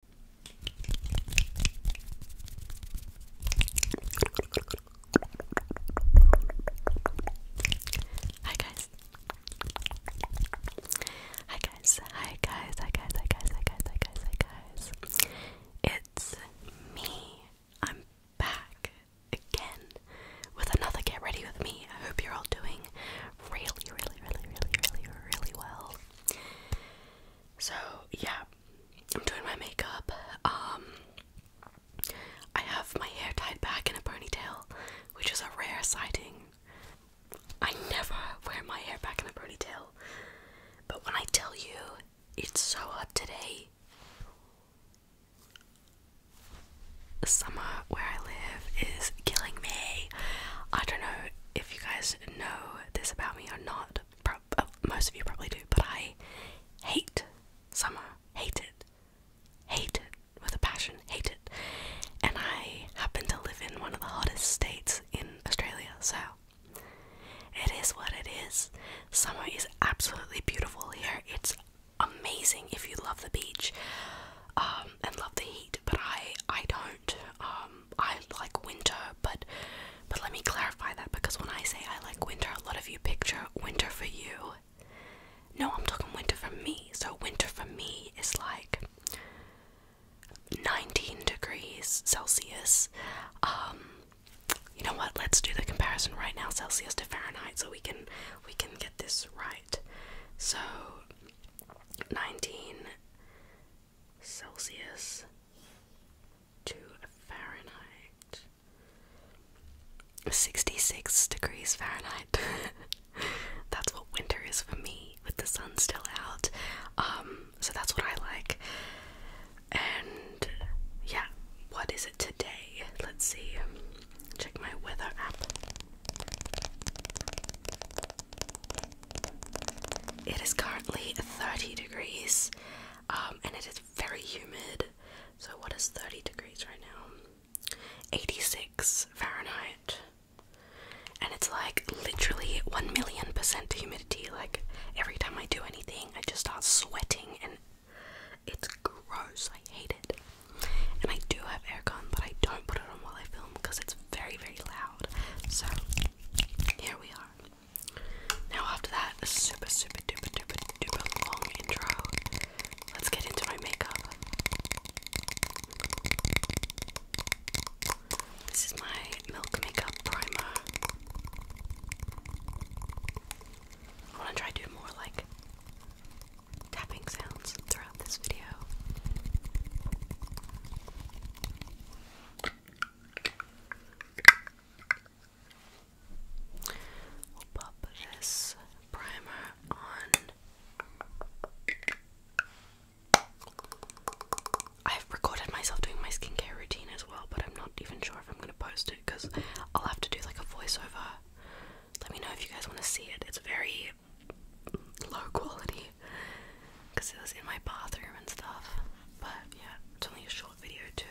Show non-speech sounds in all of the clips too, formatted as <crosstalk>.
Hi guys. Hi guys. Hi guys. Hi guys. Hi guys. Hi guys. Hi guys. It's me. I'm back again with another get ready with me. I hope you're all doing really, really, really, really, really, really well. So yeah, I'm doing my makeup. Um, I have my hair tied back in a ponytail, which is a rare sighting. I never wear my hair back in a ponytail, but when I tell you it's so hot today, the summer where I live is killing me. I don't know if you guys know this about me or not, uh, most of you probably do, but I hate summer. Hate it. Hate it with a passion. Hate it. And I happen to live in one of the hottest states in Australia, so it is what it is. Summer is absolutely beautiful here. It's amazing if you love the beach um, and love the heat, but I I don't. Um, I like winter, but but let me clarify that because when I say I like winter, a lot of you picture winter for you. No, I'm talking winter for me. So winter for me is like 19 degrees Celsius. Um, you know what? Let's do the comparison right now, Celsius to Fahrenheit, so we can we can get this right. So 19 Celsius to Fahrenheit. 66 degrees Fahrenheit. <laughs> that's what winter is for me, with the sun still out. Um, so that's what I like. And yeah, what is it today? Let's see. Check my weather app. It is currently 30 degrees um, and it is very humid. So, what is 30 degrees right now? 86 Fahrenheit. And it's like literally 1 million percent humidity. Like, every time I do anything, I just start sweating and it's gross. I hate it. And I do have aircon, but I don't put it on while I film because it's very, very loud. So, here we are. Now after that super super duper duper duper long intro, let's get into my makeup. This is my Milk Makeup Primer. I want to try to do more like tapping sounds throughout this video. I've recorded myself doing my skincare routine as well, but I'm not even sure if I'm gonna post it because I'll have to do like a voiceover. Let me know if you guys want to see it. It's very low quality because it was in my bathroom and stuff. But yeah, it's only a short video too.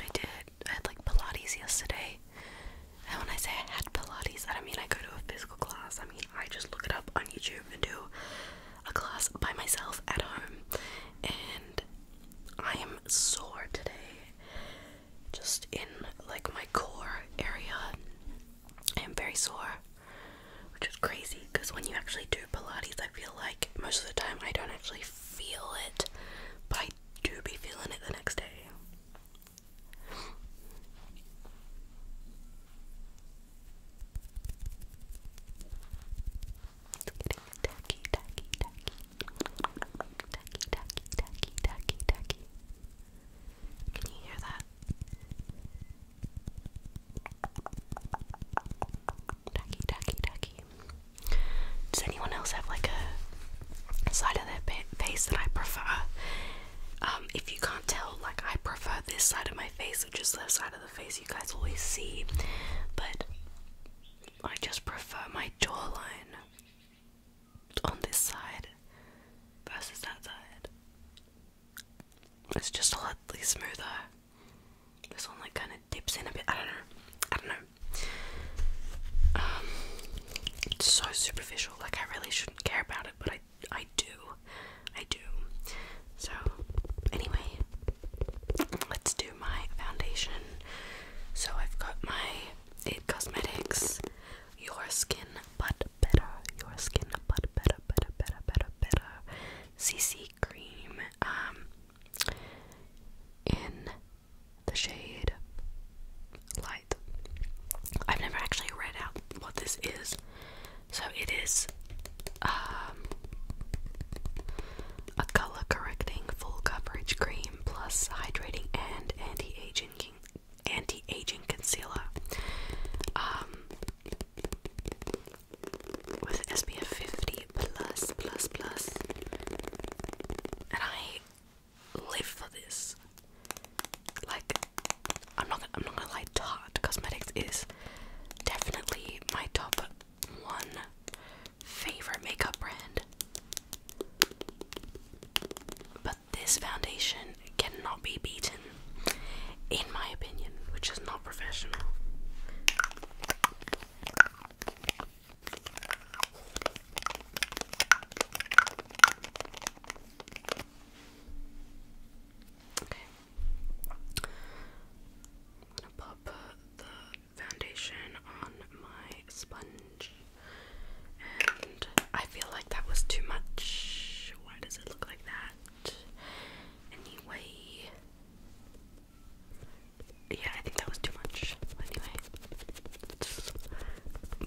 I did. I had like Pilates yesterday. And when I say I had Pilates, I don't mean I go to a physical class. I mean I just look it up on YouTube and do a class by myself at home. And I am sore today, just in like my core area. I am very sore, which is crazy because when you actually do Pilates, I feel like most of the time I don't actually feel it, but I do be feeling it the next day. It's getting tacky, tacky, tacky. Tacky, tacky, tacky, tacky, tacky. Can you hear that? Tacky, tacky, tacky. Does anyone else have like a side of their face that I prefer? Um, if you can't tell, like I prefer this side of my face, which is the side of the face you guys always see. But I just prefer my jawline on this side versus that side. It's just a lot smoother. This one like kind of dips in a bit. I don't know. I don't know. Um, it's so superficial. Like I really shouldn't care about it, but I I do. I do. So anyway, let's do my foundation. So I've got my It Cosmetics Your Skin But Better, Your Skin But Better, Better, Better, Better, Better CC Cream um, in the shade Light. I've never actually read out what this is. So it is um, a color correcting full coverage cream plus hydrating and anti-aging anti-aging concealer um, with SPF 50 plus plus plus and I live for this like I'm not I'm not gonna lie Tarte Cosmetics is definitely my top one favorite makeup brand. But this foundation cannot be beaten, in my opinion, which is not professional. Okay. I'm gonna pop the foundation on my sponge, and I feel like that was too much. Why does it look like that? Anyway, yeah, I think that was too much. Anyway,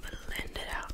blend it out.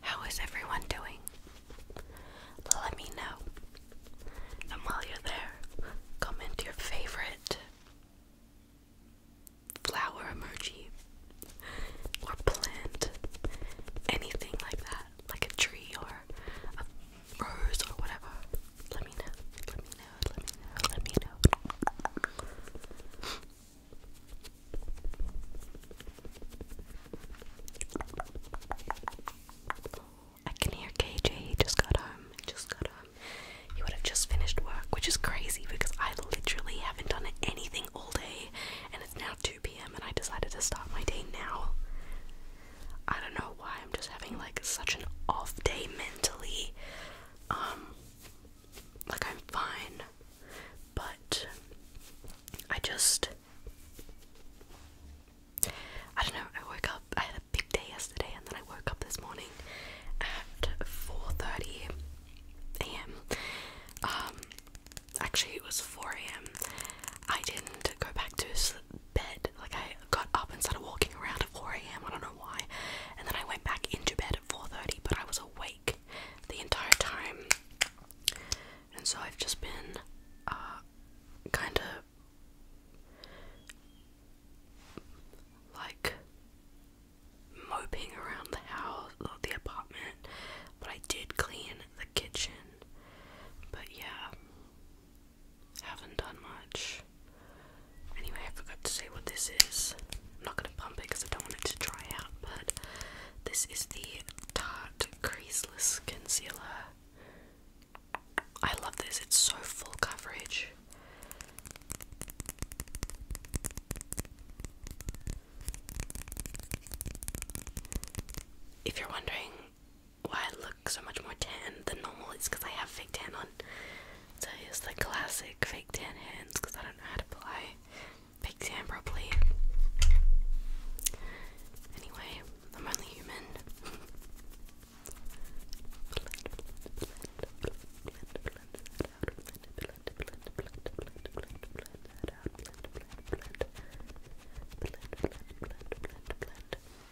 How is everyone doing? Let me know. And while you're there, comment your favorite flower emoji or plant, anything like that like a tree or a rose or whatever, let me know. Let me know. Let me know. Let me know. I can hear KJ. just got home. He just got home. He would have just finished work, which is crazy because I literally haven't done anything all day, and it's now 2 p.m. and I decided to start my day now. I don't know why I'm just having like such an off day mentally. Um like I'm fine, but I just I don't know, I woke up I had a big day yesterday and then I woke up this morning at 4:30 a.m. Um, actually it was 4 a.m. I didn't go back to sleep bed. Like I got up and started walking around at 4 a.m. I don't know why. And then I went back into bed at 4:30, but I was awake the entire time. And so I've just been uh, kind of like moping around the house or the apartment, but I did clean the kitchen. But yeah, haven't done much. Anyway, I forgot to say what this is. I'm not gonna pump it because I don't want it to dry out, but this is the Tarte Creaseless Concealer. I love this, it's so full coverage. If you're wondering why I look so much more tan than normal is because I have fake tan on. So here's the classic fake tan hands because I don't know how to apply fake tan properly. Anyway, I'm only human. <laughs>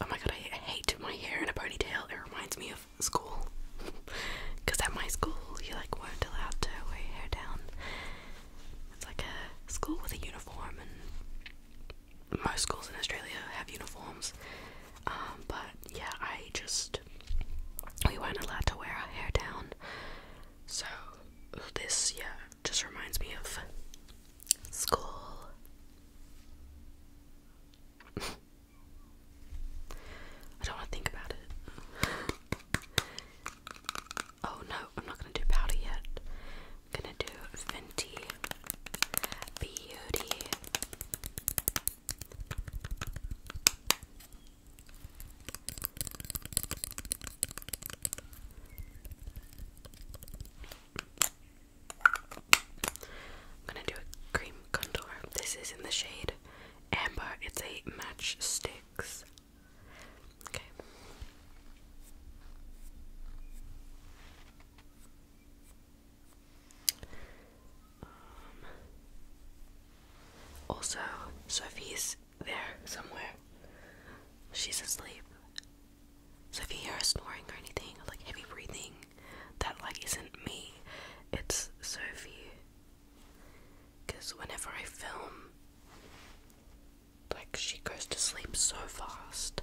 Oh my god, I hate my hair in a ponytail. It reminds me of school. Because <laughs> at my school, you like weren't allowed to wear your hair down. It's like a school with a uniform, and most schools in Australia have uniforms. Um, but yeah, I just we weren't allowed to wear our hair down. So this, yeah, just reminds me of school. I don't want to think about it. oh no, I'm not going to do powder yet. going to do Fenty Beauty. I'm gonna do a cream contour. This is in the shade Amber. It's a match sticks. Okay. Um, also, Sophie's there somewhere. She's asleep. So if you hear snoring or anything, like heavy breathing, that like isn't me, it's Sophie. Because whenever I film, like she goes to sleep so fast.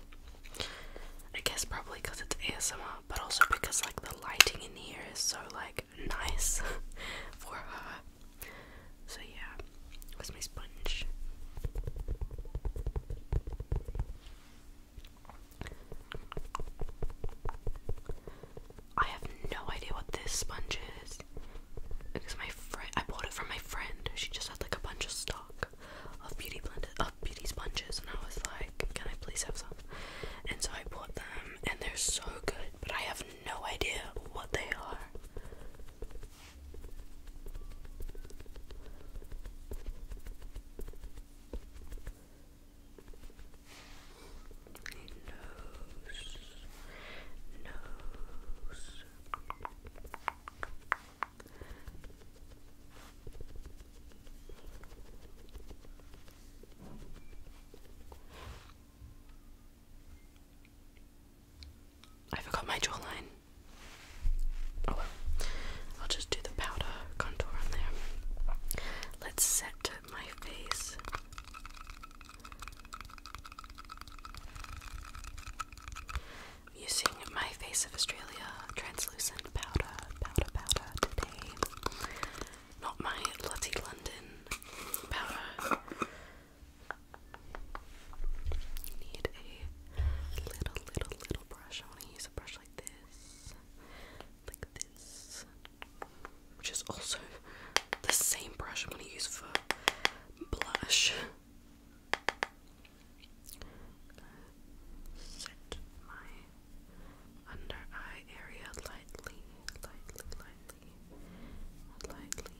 I guess probably because it's ASMR, but also because like the lighting in here is so like <laughs> nice <laughs> for her. So yeah, it was my sponge? I have no idea what this sponge is because my friend I bought it from my friend. She just had like a bunch of stock of beauty blended of beauty sponges, and I was like, "Can I please have some?" And so I bought them, and they're so good, but I have no idea what they are. Nose, nose. I forgot my jawline. Oh well. I'll just do the powder contour on there. Let's set my face. using my Face of Australia translucent powder, powder, powder today. Not my Lottie London powder need a little, little, little brush. I want to use a brush like this, like this, which is also the same brush I'm going to use for blush. Set my under eye area lightly, lightly, lightly, lightly.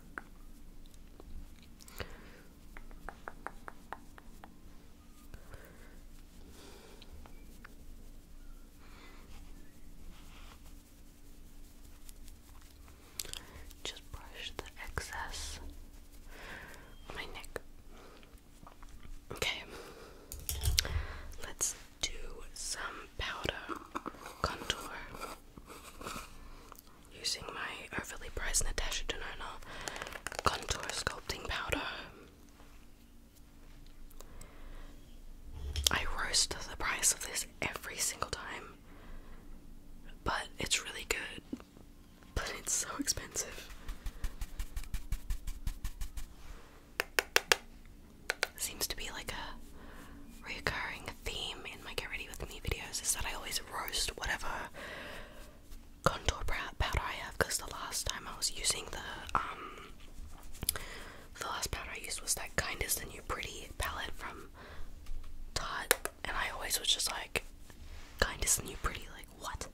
Just brush the excess my neck. Okay, let's do some powder contour using my overly priced Natasha Denona contour sculpting powder. I roast the price of this every single time, but it's really good, but it's so expensive. Seems to be like a recurring theme in my Get Ready With Me videos is that I always roast whatever contour powder I have because the last time I was using the, um, the last powder I used was that Kind of the New Pretty palette from Tarte and I always was just like, Kind of New Pretty, like what?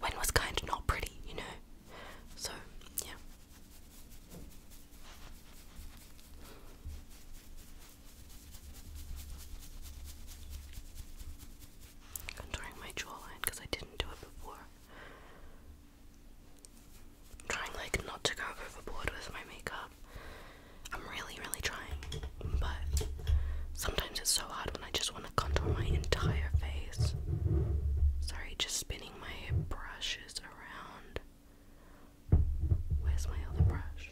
When was Kind not pretty, you know? So, yeah. Contouring my jawline because I didn't do it before. I'm trying like not to go overboard with my makeup. I'm really, really trying, but sometimes it's so hard when I just want to contour my entire face. Sorry, just spinning my brushes around. Where's my other brush?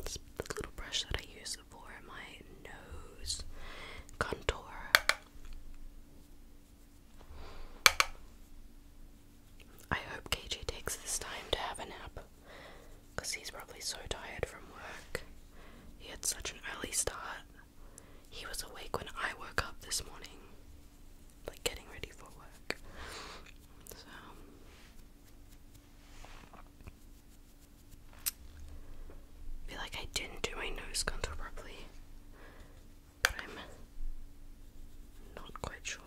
It's little brush that I use for my nose contour. I hope KJ takes this time to have a nap he's probably so tired from work. He had such an early start. He was awake when I woke up this morning, like getting ready for work. So. feel like I didn't do my nose contour properly, I'm not quite sure.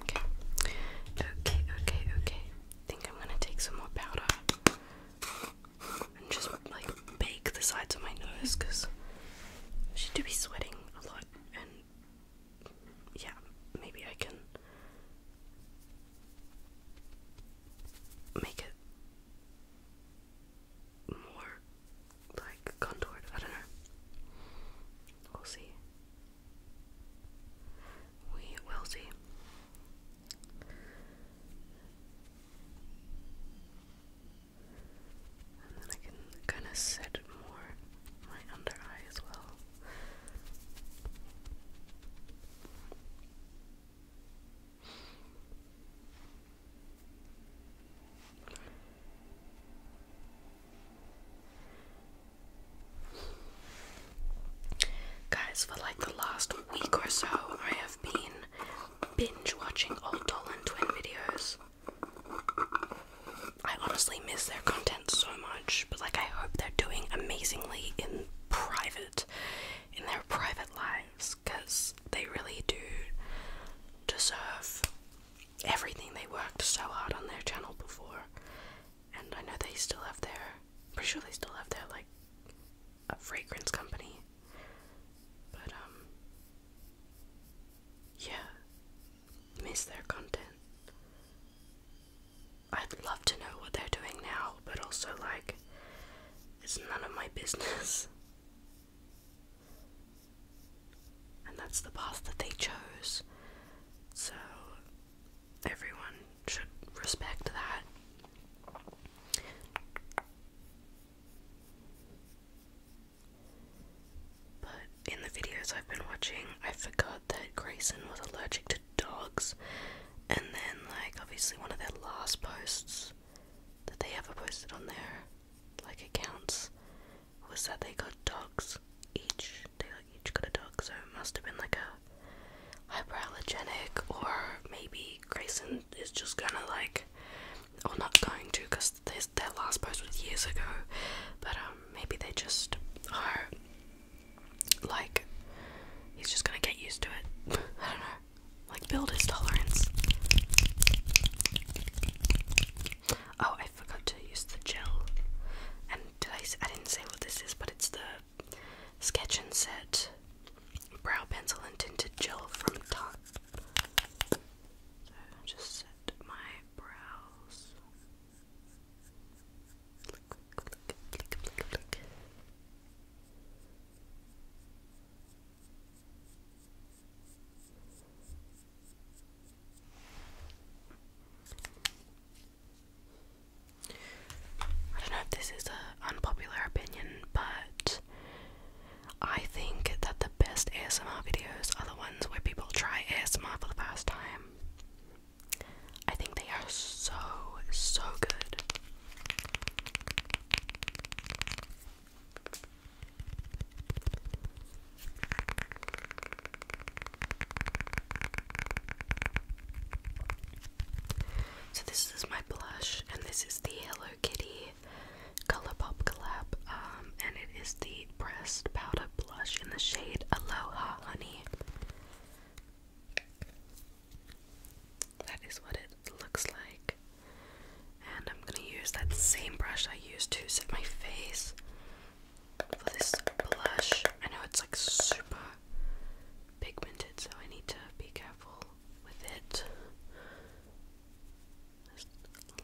Okay, okay, okay, okay. I think I'm gonna take some more powder and just like bake the sides of my nose because I should do be sweating a lot and yeah, maybe I can make it more like contoured. I don't know. We'll see. We will see. And then I can kind of set more my under eye as well. Guys, for like the last week or so, I have been binge watching old Dolan Twin videos. I honestly miss their content so much, but like I hope they're doing amazingly in private, in their private lives because they really do deserve everything they worked so hard on their channel before. And I know they still have their, pretty sure they still have their like a fragrance company. But um, yeah, miss their content. I'd love to know what they're doing now, but also like, it's none of my business. <laughs> And that's the path that they chose. So everyone should respect that. But in the videos I've been watching, I forgot that Grayson was allergic to dogs. And then, like, obviously, one of their last posts that they ever posted on there, like accounts was that they got dogs each. They like, each got a dog, so it must have been like a hyperallergenic, or maybe Grayson is just gonna like, or not going to, because their last post was years ago. But um, maybe they just are like, he's just gonna get used to it. <laughs> I don't know. Like, build his tolerance. Oh, I forgot to use the gel. And did I, I didn't say what this is, but it's the Sketch and Set Brow Pencil and Tinted Gel from Tarte. So, just set my brows. I don't know if this is an unpopular opinion, but I think that the best ASMR videos are the ones where people try ASMR for the first time. I think they are so, so good. So this is my blush, and this is the Hello Kitty Color Pop collab, um, and it is the pressed powder blush in the shade Aloha Honey. That is what it looks like. And I'm gonna use that same brush I used to set my face for this blush. I know it's like super pigmented, so I need to be careful with it. Just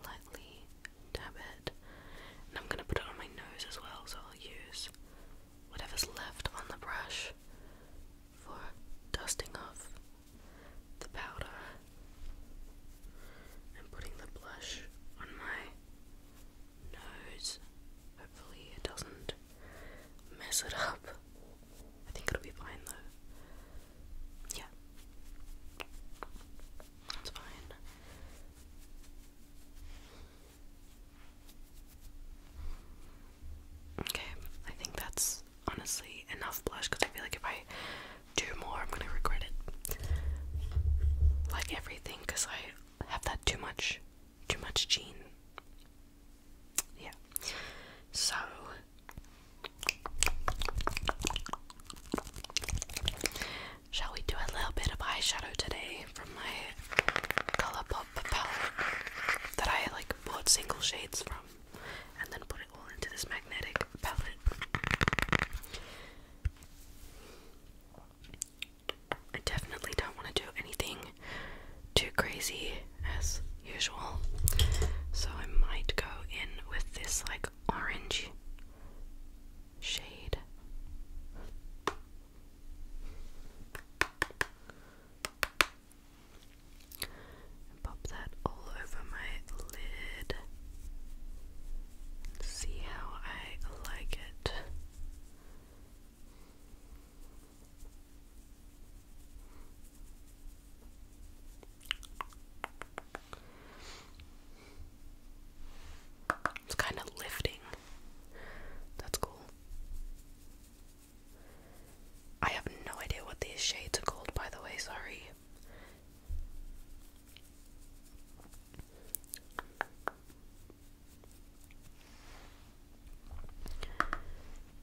lightly dab it. And I'm gonna put it on my nose as well, so I'll use whatever's left on the brush for dusting off the powder and putting the blush on my nose. Hopefully, it doesn't mess it up. I think it'll be fine though. Yeah. That's fine. Okay, I think that's honestly enough blush because I feel like if I do more, I'm gonna regret it. Like everything, because I have that too much, too much gene. Yeah. So. Shall we do a little bit of eyeshadow today from my Colourpop palette that I like bought single shades from and then put all into this magnetic palette. I definitely don't want to do anything too crazy as usual, so I might go in with this like orange shade. And pop that all over my lid. see how I like it. It's kind of lifting. That's cool. I have no idea what these shades are called, by the way, sorry.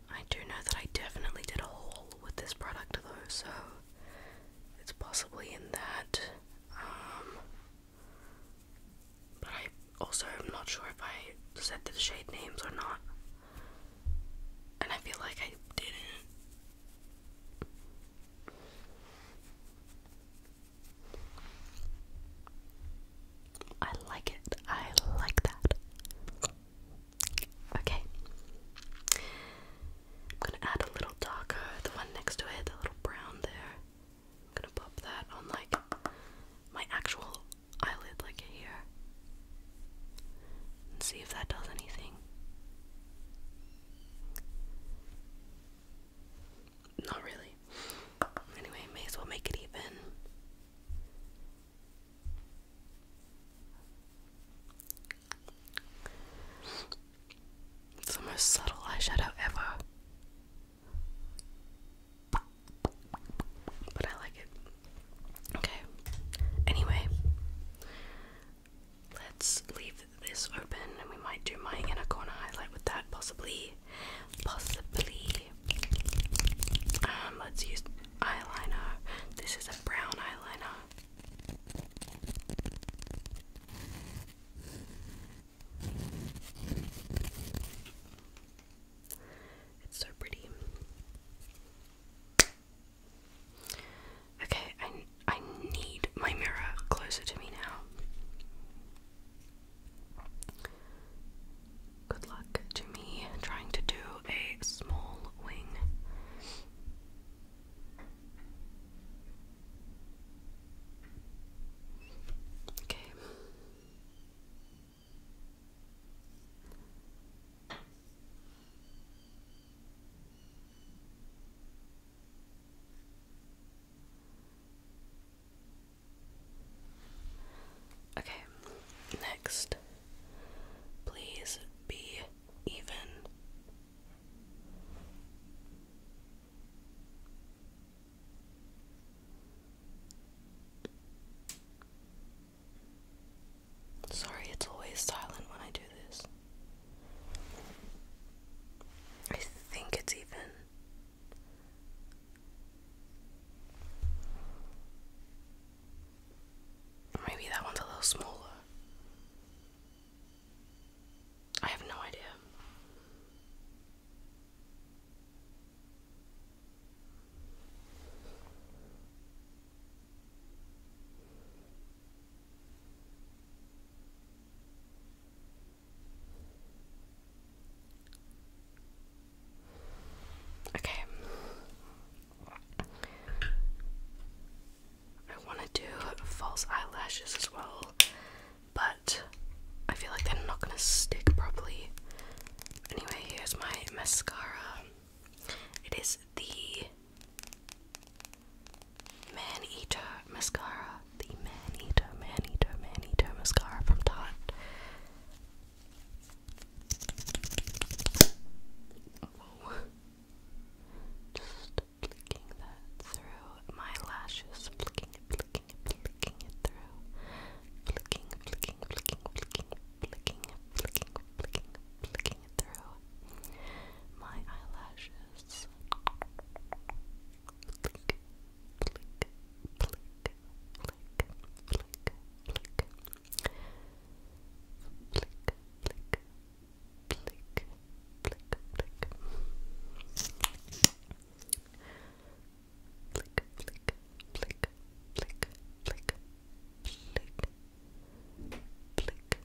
I do know that I definitely did a haul with this product though, so it's possibly in that. Um, but I also am not sure if I said the shade names or not. And I feel like I didn't. I like it. I like that. Okay. I'm gonna add a little darker, the one next to it, the little brown there. I'm gonna pop that on like my actual eyelid, like here and see if that does anything. Not really. Anyway, may as well make it even. It's the most subtle eyeshadow ever. But I like it. Okay. Anyway, let's leave this open and we might do my inner corner highlight with that possibly. Possibly. Um, let's use eyeliner. This is a brown eyeliner. It's so pretty. Okay, I, I need my mirror closer to me now. Good luck to me trying to do a small wing. Okay. Okay, next, please be even. Sorry, it's always silent when I do this. I think it's even. Maybe that one's a little smaller. I have no idea. Okay. I want to do false eyelashes as well, but I feel like they're not going to stick properly. Anyway, here's my mascara. It is the Man Eater mascara. The Man Eater, Man mascara from Tarte. Just flicking that through my lashes, flicking flicking flicking it through. flicking, flicking, flicking, flicking, flicking, flicking, flicking, working it through my eyelashes.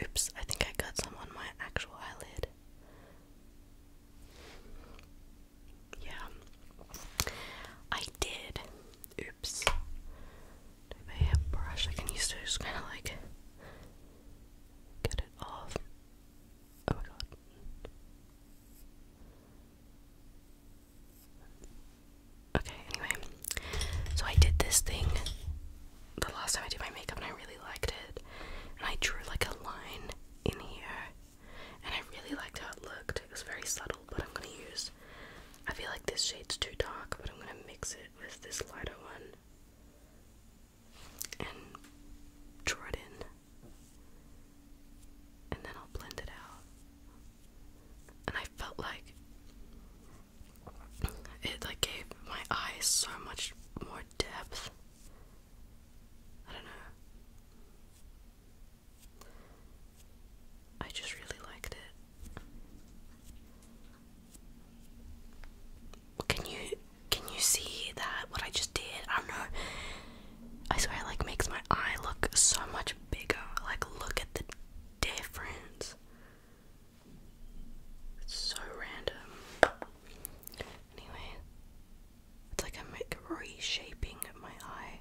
Oops, I think I got some on my actual eyelid. Yeah. I did. Oops. Maybe a I can use to just kind of like get it off. Oh my god. Okay, anyway. So I did this thing the last time I did my makeup and I really liked it. And I drew like a line in here. And I really liked how it looked. It was very subtle, but I'm gonna use. I feel like this shade's too dark, but I'm gonna mix it with this lighter one and draw it in. And then I'll blend it out. And I felt like it like gave my eyes so much more depth. I don't know. I just really liked it. Can you can you see that what I just did? I don't know. I swear like makes my eye look so much bigger. Like look at the difference. It's so random. Anyway, it's like I'm reshaping my eye.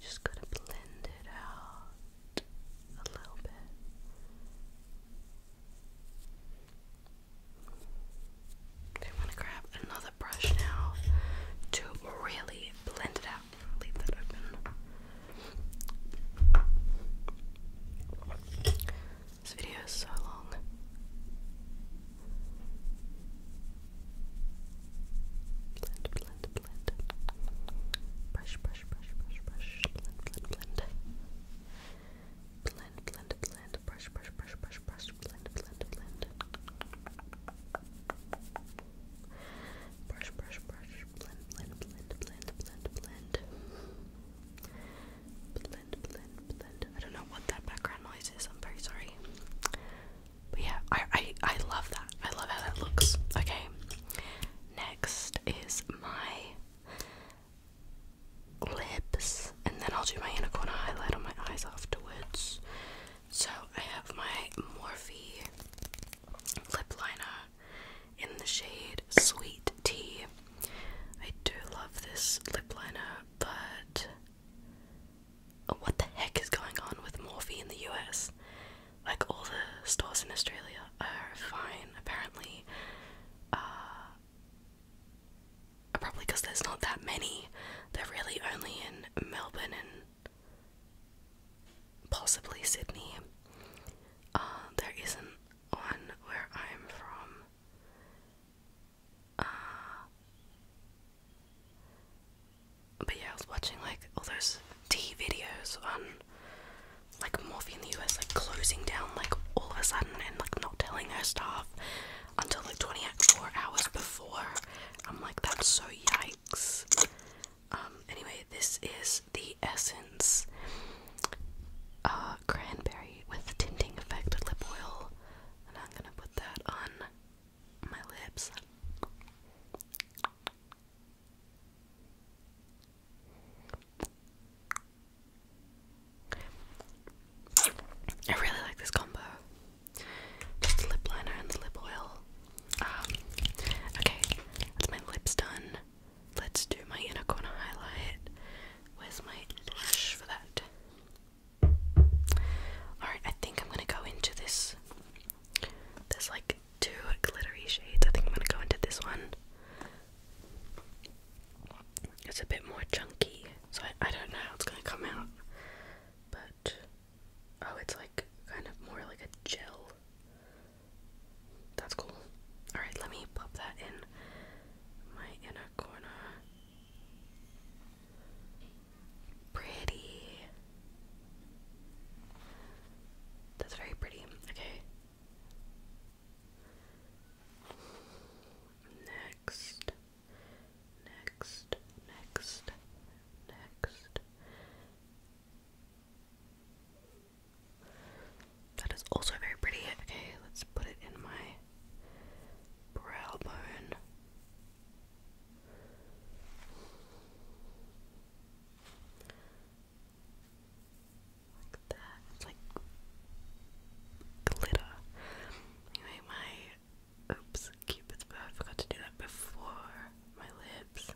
Just gotta blend it out a little bit. I'm gonna grab another brush now to really blend it out. This video is so long. Blend, blend, blend. Brush, brush, brush, brush, brush. Blend, blend, blend. Blend, blend, blend just brush, brush, brush, brush, brush, blend, blend, blend. Brush, brush, brush, blend, blend, blend, blend, blend, blend. Blend, blend, blend. I don't know what that background noise is. I'm very sorry. But yeah, I I I love that. I love how that looks. Okay. Next is my lips, and then I'll do my Anaconda highlight on my eyes afterwards. So I have my Morphe lip liner in the shade Sweet Tea. I do love this lip liner, but what the heck is going on with Morphe in the US? Like all the stores in Australia are fine apparently. Uh, probably because there's not that many. They're really only in Melbourne and possibly Sydney. Uh, there isn't one where I'm from. Uh, but yeah, I was watching like all those tea videos on like Morphy in the US, like closing down like all of a sudden and like not telling her staff until like 24 hours before. I'm like, that's so yikes. Um, anyway, this is the Essence uh, Cranberry with Tinting Effect Lip Oil, and I'm gonna put that on my lips. I really like this combo. Just the lip liner and the lip oil. Um, okay, that's my lips done. Let's do my inner corner highlight. Where's my lash for that? Alright, I think I'm gonna go into this. There's like two glittery shades. I think I'm gonna go into this one. It's a bit more chunky. So I, don't know how it's gonna come out. But oh it's like kind of more like a gel. That's cool. Alright, let me pop that in my inner corner. Pretty. That's very pretty. Okay. Next, next, next, next. That is also very pretty. Okay, let's put it in my brow bone. Like that. It's like glitter. Anyway, my oops, Cupid's bow. I forgot to do that before my lips.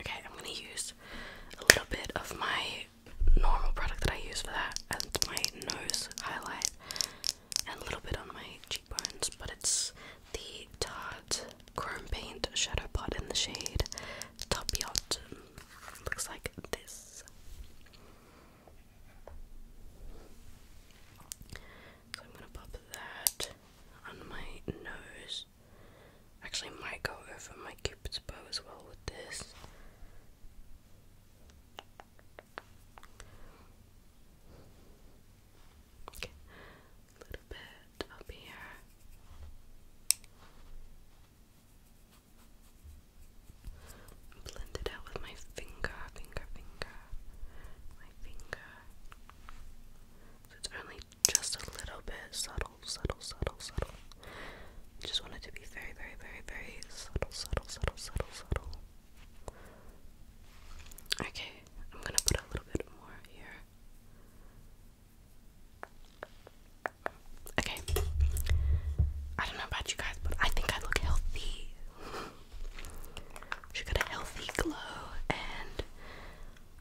Okay, I'm gonna use a little bit of my normal product that I use for that and my nose highlight and a little bit on my cheekbones, but it's the Tarte Chrome Paint Shadow Pot in the shade Top Yacht Looks like this. So I'm gonna pop that on my nose. Actually, might go over my cupid's bow as well with this. Okay, a little bit up here. Blend it out with my finger, finger, finger, my finger. it's only just a little bit subtle, subtle, subtle, subtle. just want it to be very, very, very, very subtle, subtle, subtle, subtle, subtle. Okay, I'm gonna put a little bit more here. Okay. I don't know about you guys, but I think I look healthy. <laughs> she got a healthy glow, and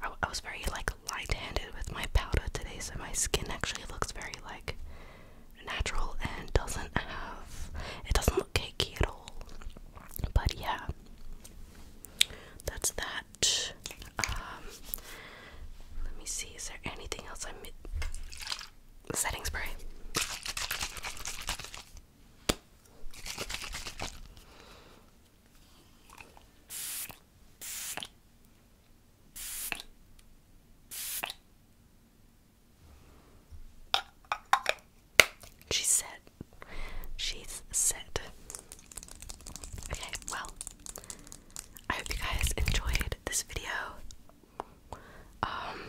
I was very like light-handed with my powder today, so my skin actually looks very like natural and doesn't have it doesn't look cakey at all. But yeah, that's that. Um, let me see. Is there anything else I'm setting spray? She's set. She's set. Okay, well, I hope you guys enjoyed this video. Um,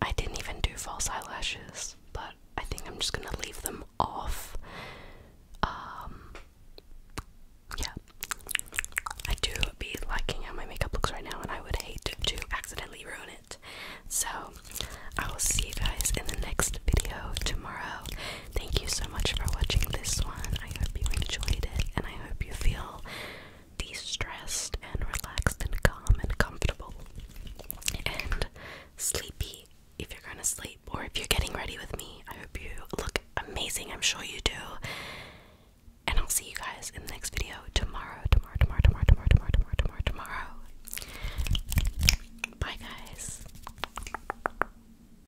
I didn't even do false eyelashes, but I think I'm just gonna leave them off. Um, yeah, I do be liking how my makeup looks right now, and I would hate to accidentally ruin it. So, I will see you guys in the next video tomorrow. Thank you so much for watching this one. I hope you enjoyed it and I hope you feel de stressed and relaxed and calm and comfortable and sleepy if you're going to sleep or if you're getting ready with me. I hope you look amazing. I'm sure you do. And I'll see you guys in the next video tomorrow. Tomorrow, tomorrow, tomorrow, tomorrow, tomorrow, tomorrow, tomorrow, tomorrow. Bye, guys.